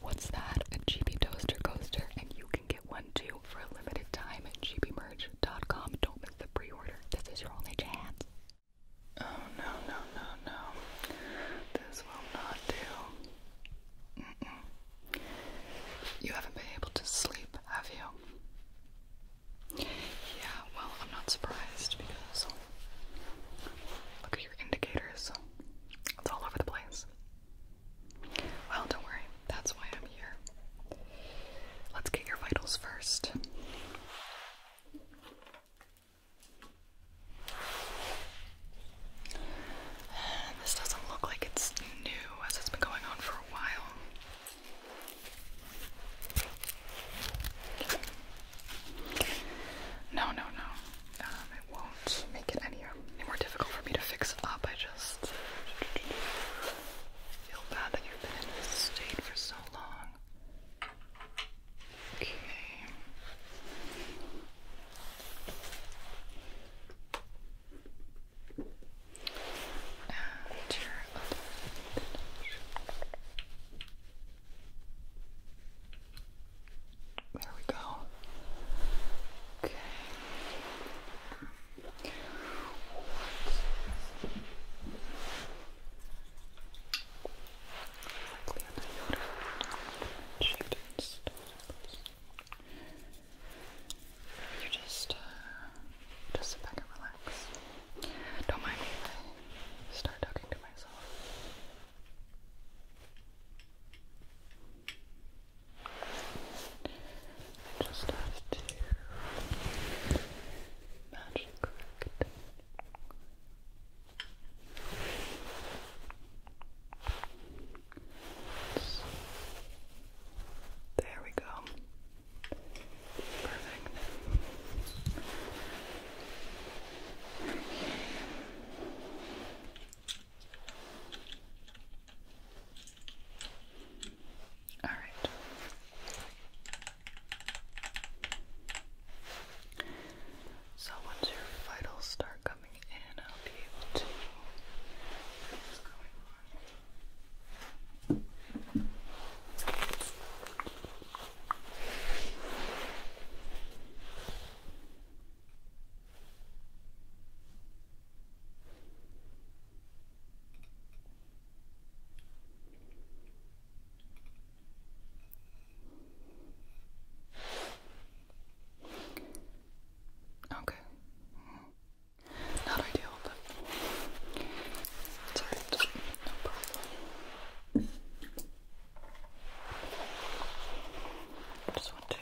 What's that? A GB toaster coaster, and you can get one too for a limited time at gbmerch.com. Don't miss the pre-order. This is your only chance. Oh no no no no! This will not do. You haven't been able to sleep, have you? Yeah. Well, I'm not surprised because look at your indicators. It's all over the place. Well, don't worry, that's why I'm here. Let's get your vitals first. This doesn't look like it's new as it's been going on for a while. No, no, no. Um, I won't make it any, any more difficult for me to fix up. I just feel bad that you've been in this state for so long. Okay. There we go. Okay. Likely You just, uh, just sit back and relax. Don't mind me I start talking to myself just have to match it There we go. Perfect. All right. So once your vitals start coming in, I'll be able to what's going on. Okay. Not ideal, but it's No problem. just want to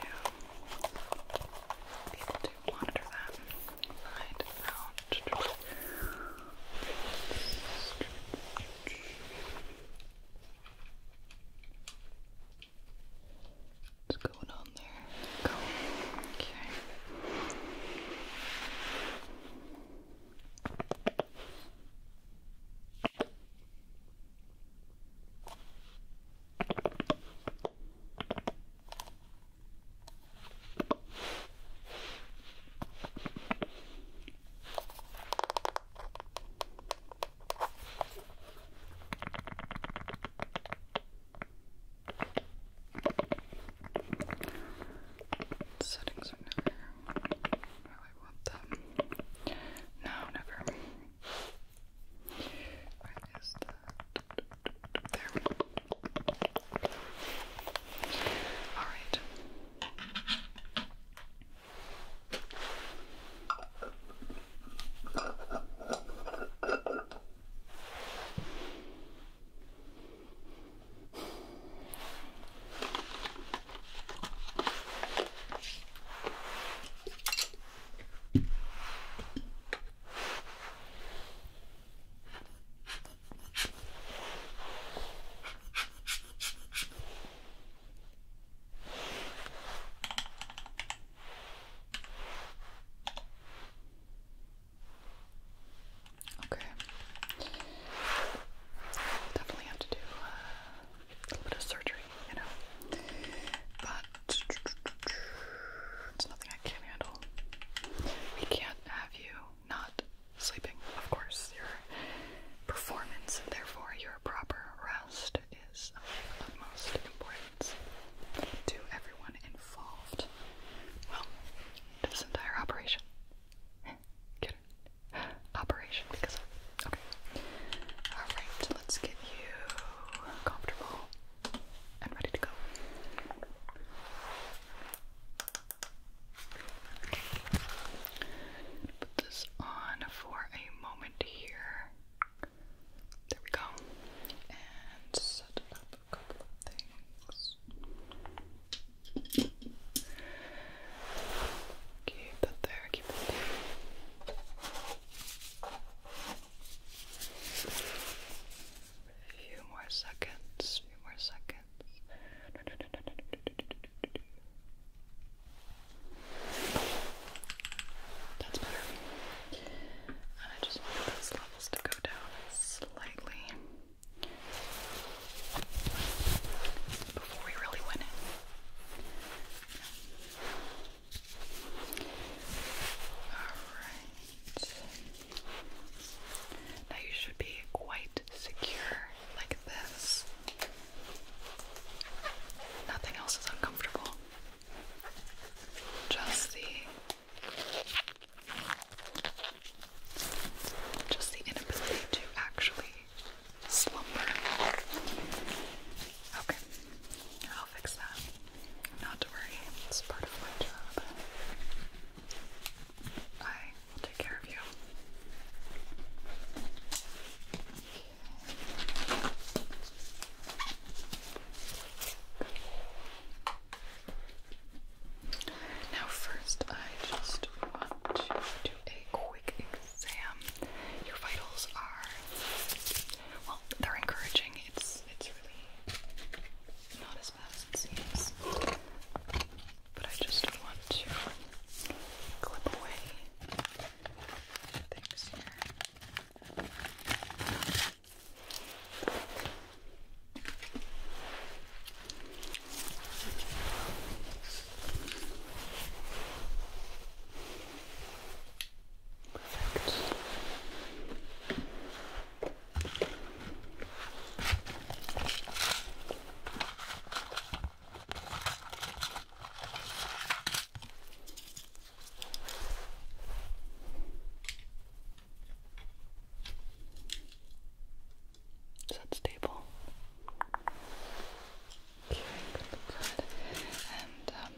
people do monitor that and find out. What's going on there? Go. Okay. Okay. Settings are never how I want them. No, never. Where is that? There we go. Alright. Okay. Definitely have to do uh, a little bit of surgery you know. But it's nothing I can't handle. We can't have you not sleeping, of course. Your performance, therefore, your proper rest is of utmost importance to everyone involved. Well, this entire operation. Operation, because. Okay. Alright, let's get you comfortable and ready to go. Put this on for a moment here. There we go. And a couple of things. Keep that there, keep that there. A few more seconds, few more seconds. That's better. And I just want those levels to go down slightly before we really win it. Alright. Now you should be quite secure like this. Nothing else is uncomfortable. Just the just the inability to actually slumber. Okay, I'll fix that. Not to worry, it's part of my job. I will take care of you. Now, first, I just want to do a quick exam. Your vitals are, well, they're encouraging. It's it's it's really not as bad as it seems. But I just want to clip away things here. Perfect. Is that stable? good, And um,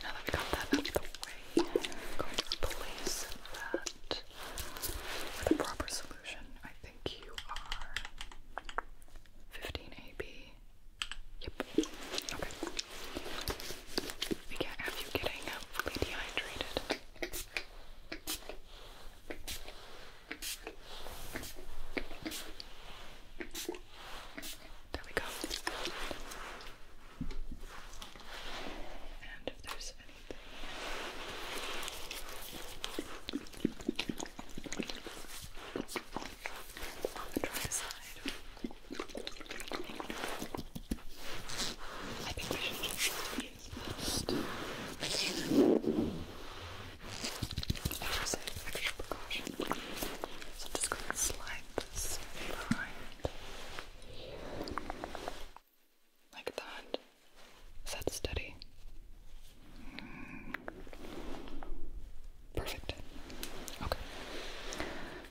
Now that we got that out of the way, going to replace that with a proper solution. I think you are 15 AB. Yep. Okay. We can you getting hopefully dehydrated. There we go. And if there's anything on the dry side. I think we should just use first. I should say extra precaution. So I'm just going to slide this behind. Like that. Is that steady? Mm. Perfect. Okay.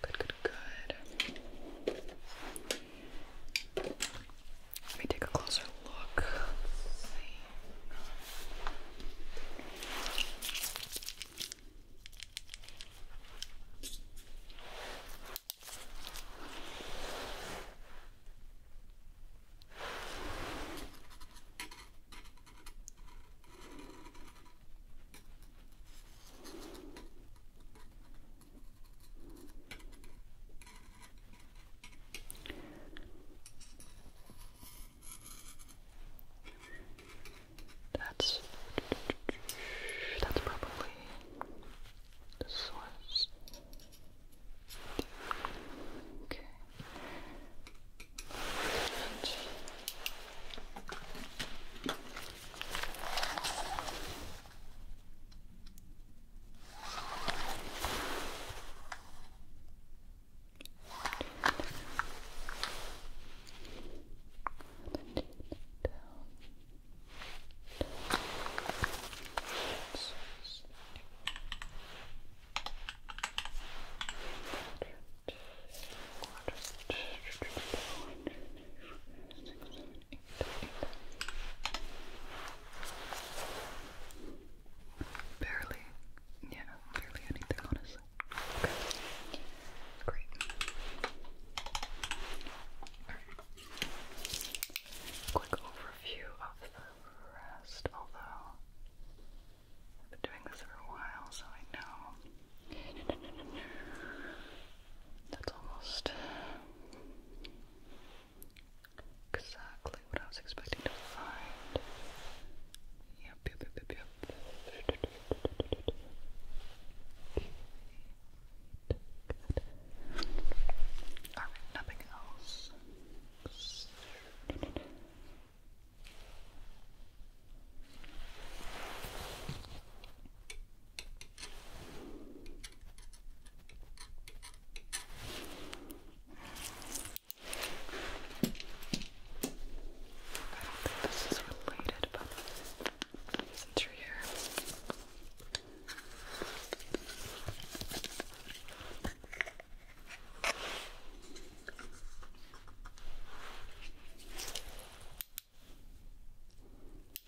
Good, good, good. Let me take a closer look. see. That's that's probably the source. Okay. Quarter six, seven, eight, eight. Barely, yeah, barely anything, honestly. Okay. Great. Alright. Quick overview of the rest, although I've been doing this for a while, so I know. That's almost exactly what I was expecting to find. Yep, yep, yep, yep, Alright, nothing else think this is related, but since you're here. Is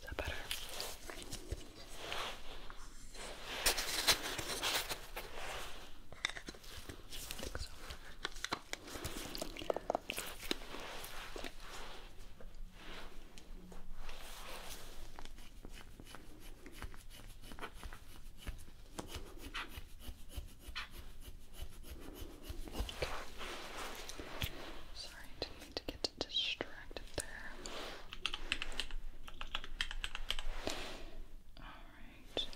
that better? I think so. Sorry, didn't to get distracted there. Alright.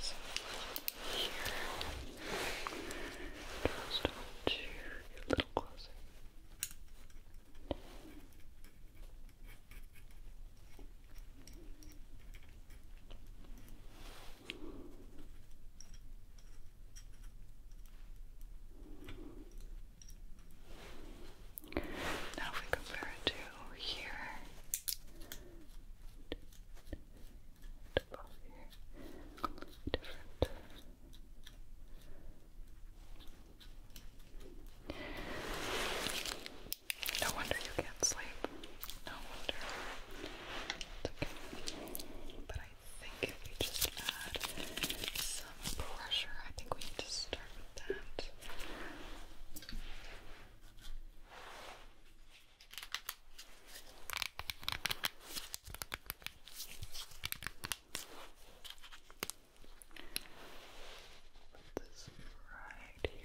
So here. Just want to get little closer. Now, if we compare it to here, no wonder you can't sleep. No wonder. But I think if we just add some pressure, I think we need to start with that. Put this right here.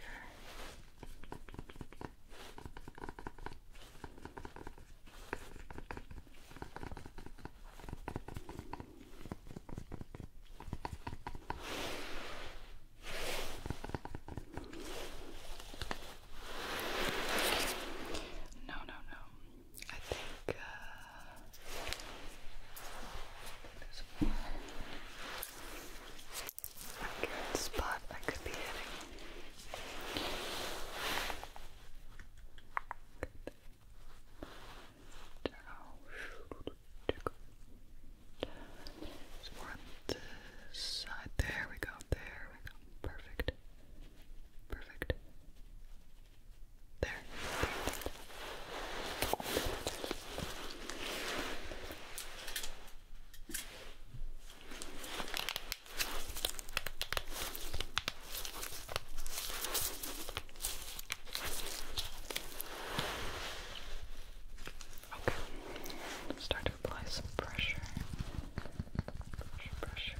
No, no, no. I think uh, there's A good spot I could be hitting. Good. There's more on this side. There we go. There we go. Perfect. Perfect. There. Okay, start to apply some pressure. Pressure, pressure.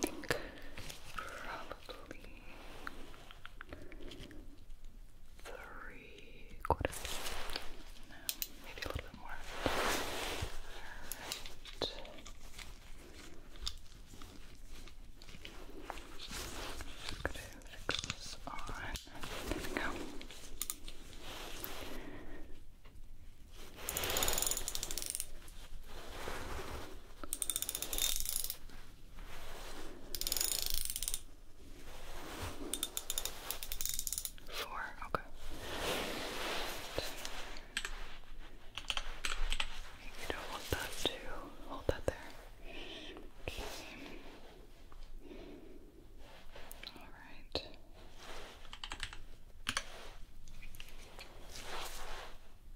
think probably three quarters. No, maybe a little bit more. Alright. Just gonna fix on. There we go. Four, okay. you don't want that to hold that there. Okay. Alright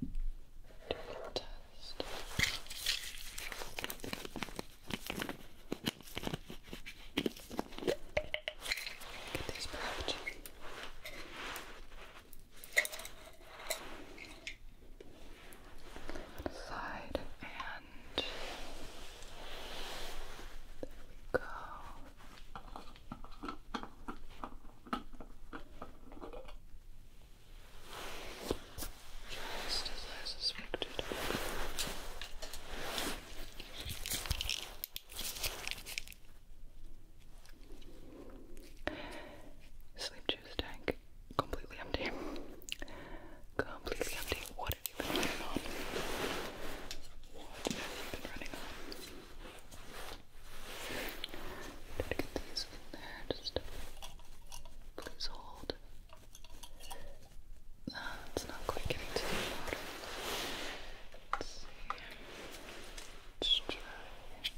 do a test. Get these back. Side and there we go. Just as I suspected. Sleep juice tank completely empty. Completely empty. What have you been running on? What have you been running on? Try to get these in there. Just please hold. Uh, it's not quite getting to the water. Let's see. let try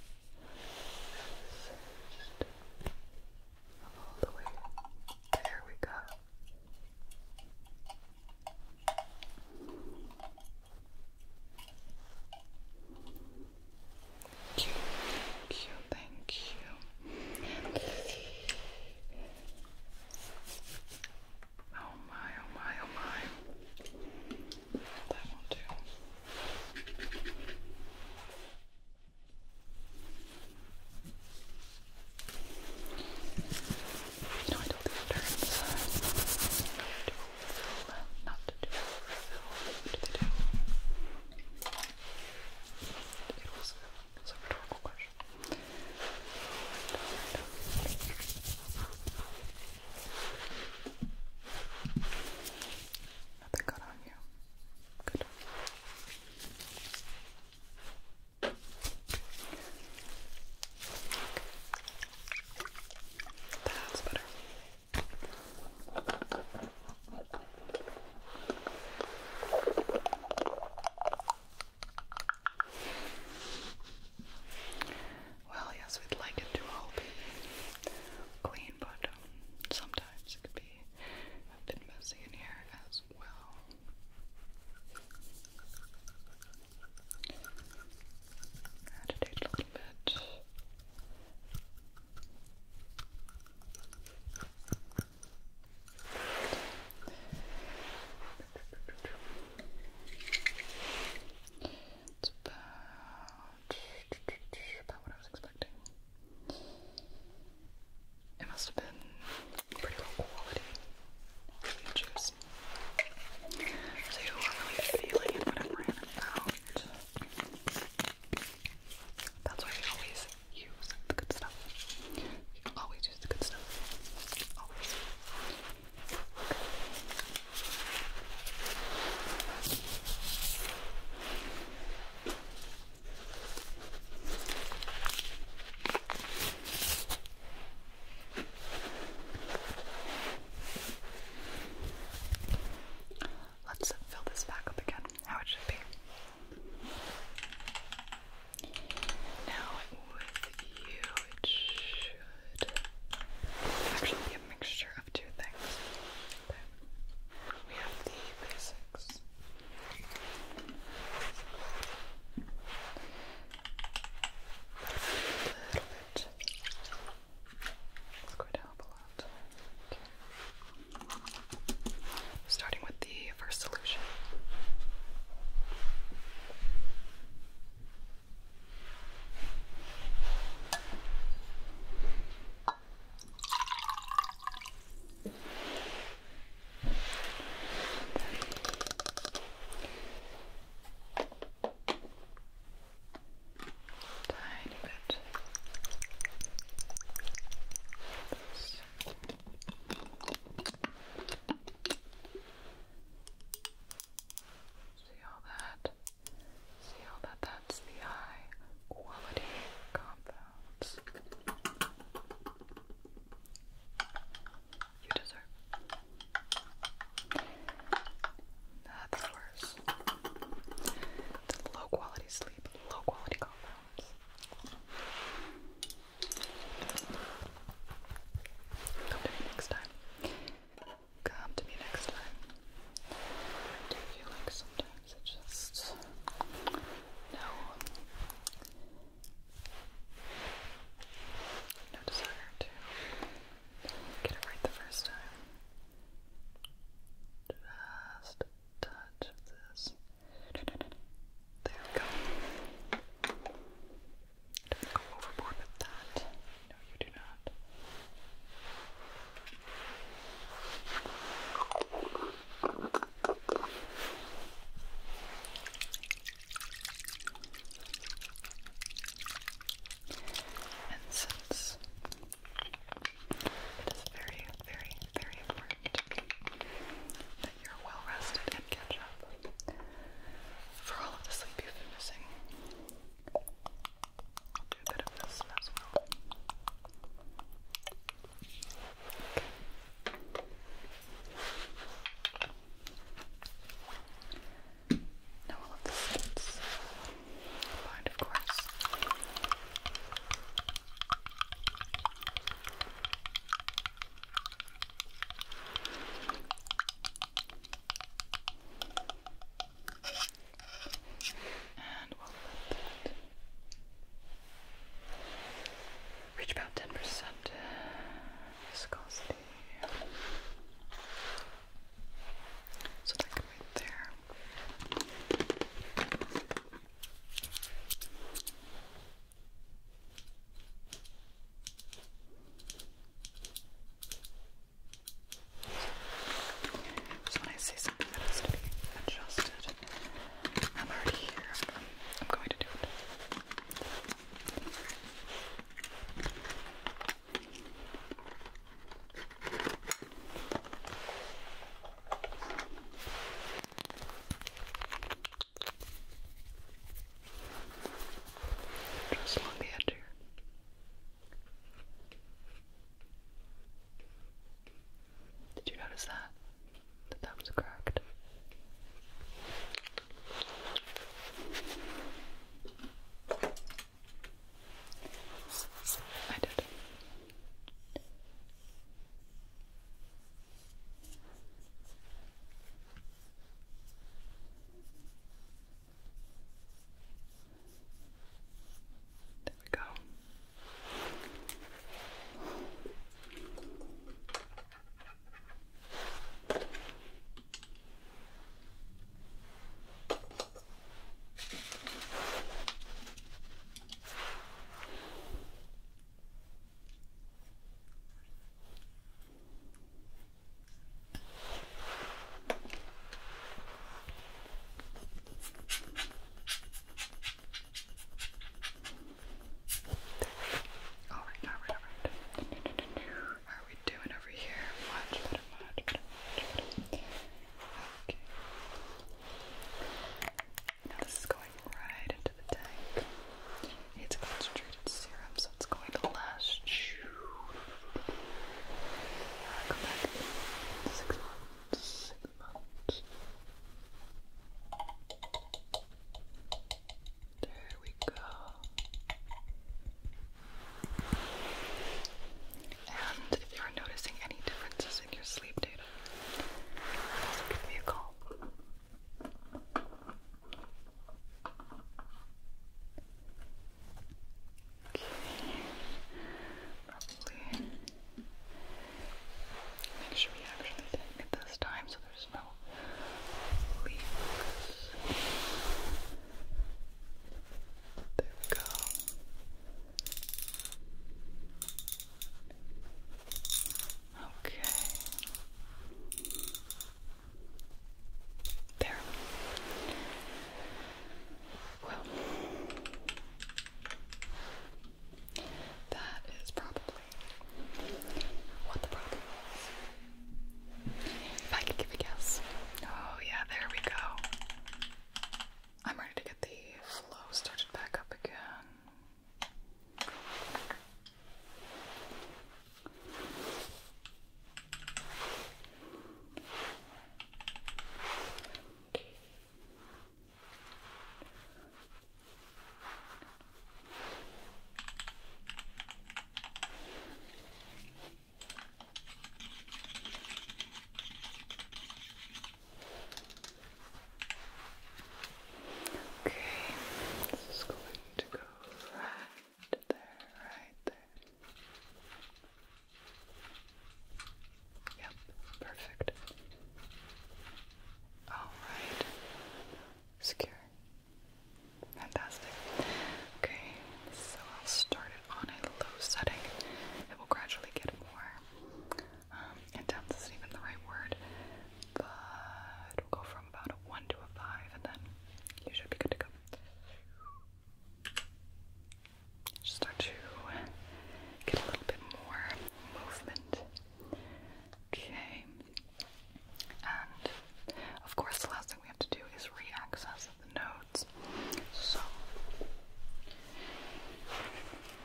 first. All the way. There we go. Thank you, thank you, Oh my, oh my, oh my. That will do. don't think turns refill, not to do what do they do? It was, it was a question. Nothing got on you. Good. Okay. That's better. Well, yes, we'd like it to all be clean, but um, sometimes it could be a bit messy in here as well. Agitate a little bit. It's about, about what I was expecting. It must have been pretty low quality juice. So you are really feeling it I ran it out. That's why we always use the good stuff. You always use the good stuff. Always. Let's fill this back up again, how it be. Now, it should actually be a mixture of two things. We have the basics. A little bit it's going to help a lot. Starting with the first solution. Tiny bit. See all that? See all that? That's the high quality compounds. You deserve. That's worse. The low quality sleep, low quality compounds. Come to me next time. Come to me next time. I do feel like sometimes it just no no desire to get it right the first time. Just touch this. There we go. Don't go overboard with that. No, you do not. And it is very, very, very important that you're well rested and catch up for all of the sleep you've been missing. I'll do a bit of this as well. Now all of the scents of course. And what about Reach about ten percent viscosity. So that could there. So when I say something that has to be adjusted, I'm already here. I'm going to do it. Just along the edge here. Did you notice that? That that cracked. I did. There we go. All right, all right, all right. How are we doing over here? Much better, much better, much better. Okay. Now this is going right into the tank. It's concentrated serum, so it's going to last uh, There we go and if you're noticing any differences in your sleep data, also give me a call. Okay, probably make sure we actually tighten it this time so there's no leaks. There we go. Okay. There. Well, that is probably what the problem is. If I could give a guess. Oh, yeah, there we go. I'm ready to get the flow started back up again. Okay, this is going to go right there, right there. Yep, perfect. Alright. Secure. Fantastic. Okay, so I'll start it on a low setting. It will gradually get more um, is even the right word, but we'll go from about a 1 to a 5, and then you should be good to go. start to get a little bit more movement. Okay. And of course, the last thing we have to do is re access the nodes. So once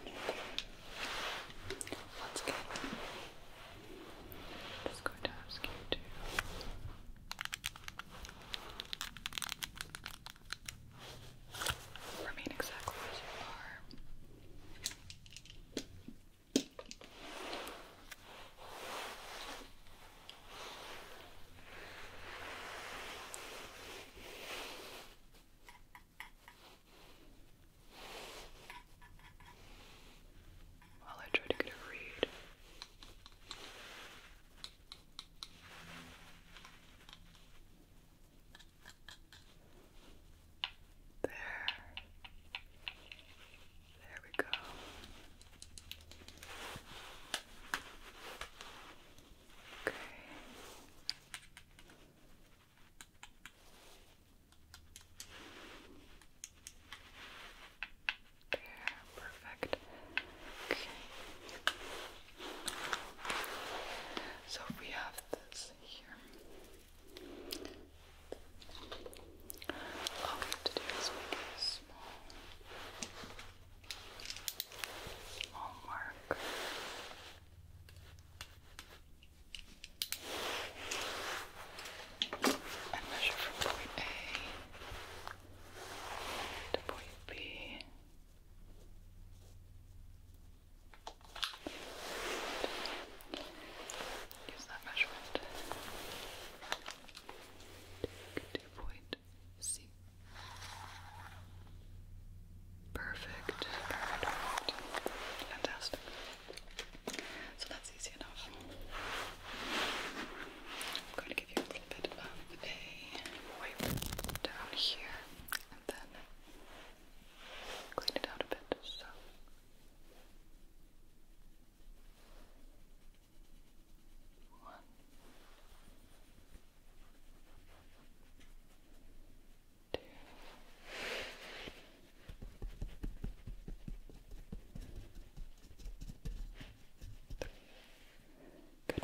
again, i just going to ask you to remain exactly as you are. While I try to get a read. There. There we go. Okay. There, perfect. Okay. So we have this here. All we have to do is make small, small and measure from point A to point B. use that measurement. to point C. Perfect, fantastic. So that's easy enough. I'm going to give you a little bit of a wipe down here and then clean it out a bit. So. One, two, three. Good.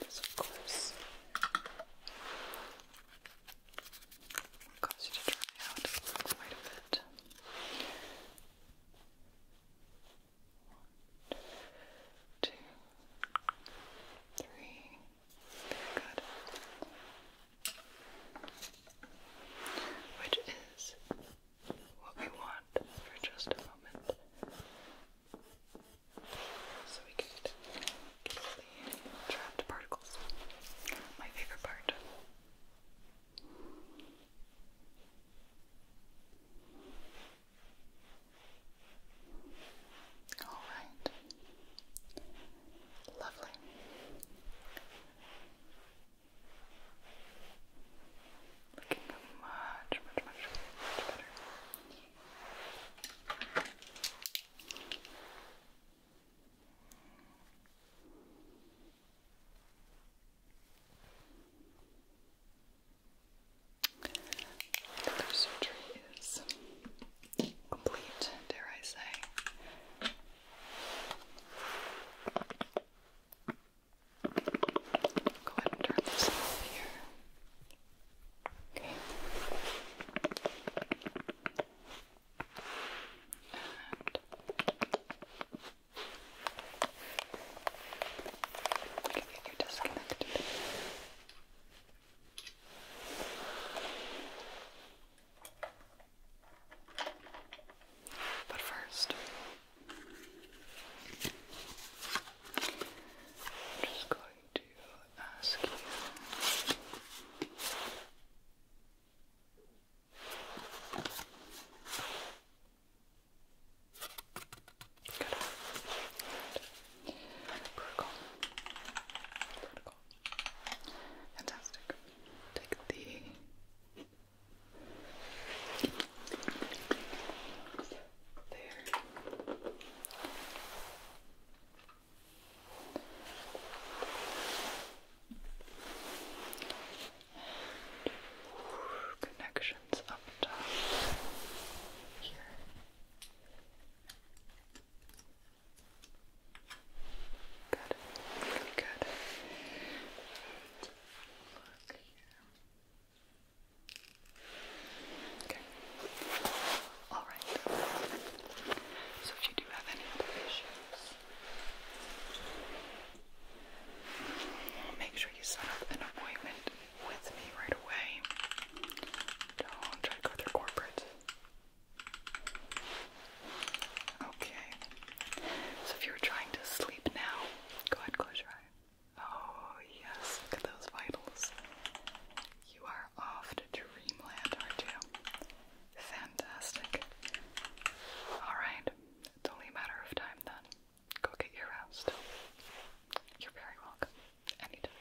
This, of will you to dry out quite a bit. One, two, three. Very good. Which is what we want for just a moment. So we could trapped particles. My favorite part. All right. Lovely. Looking much, much, much, much better. Another surgery is complete, dare I say. Go ahead and turn this off here. Okay, you're disconnected. But first, I'm just going to ask you Good. Vertical. Fantastic. Take the there. And connections up top Good, good. Okay. All right. So if you have any other issues, Make sure you set up an appointment with me right away. Don't try to go through corporate. Okay. So if you were trying to sleep now, go ahead, close your eyes. Oh yes, look at those vitals. You are off to dreamland, aren't you? Fantastic. Alright, only matter of time then. Go get your rest. You're very welcome. Anytime.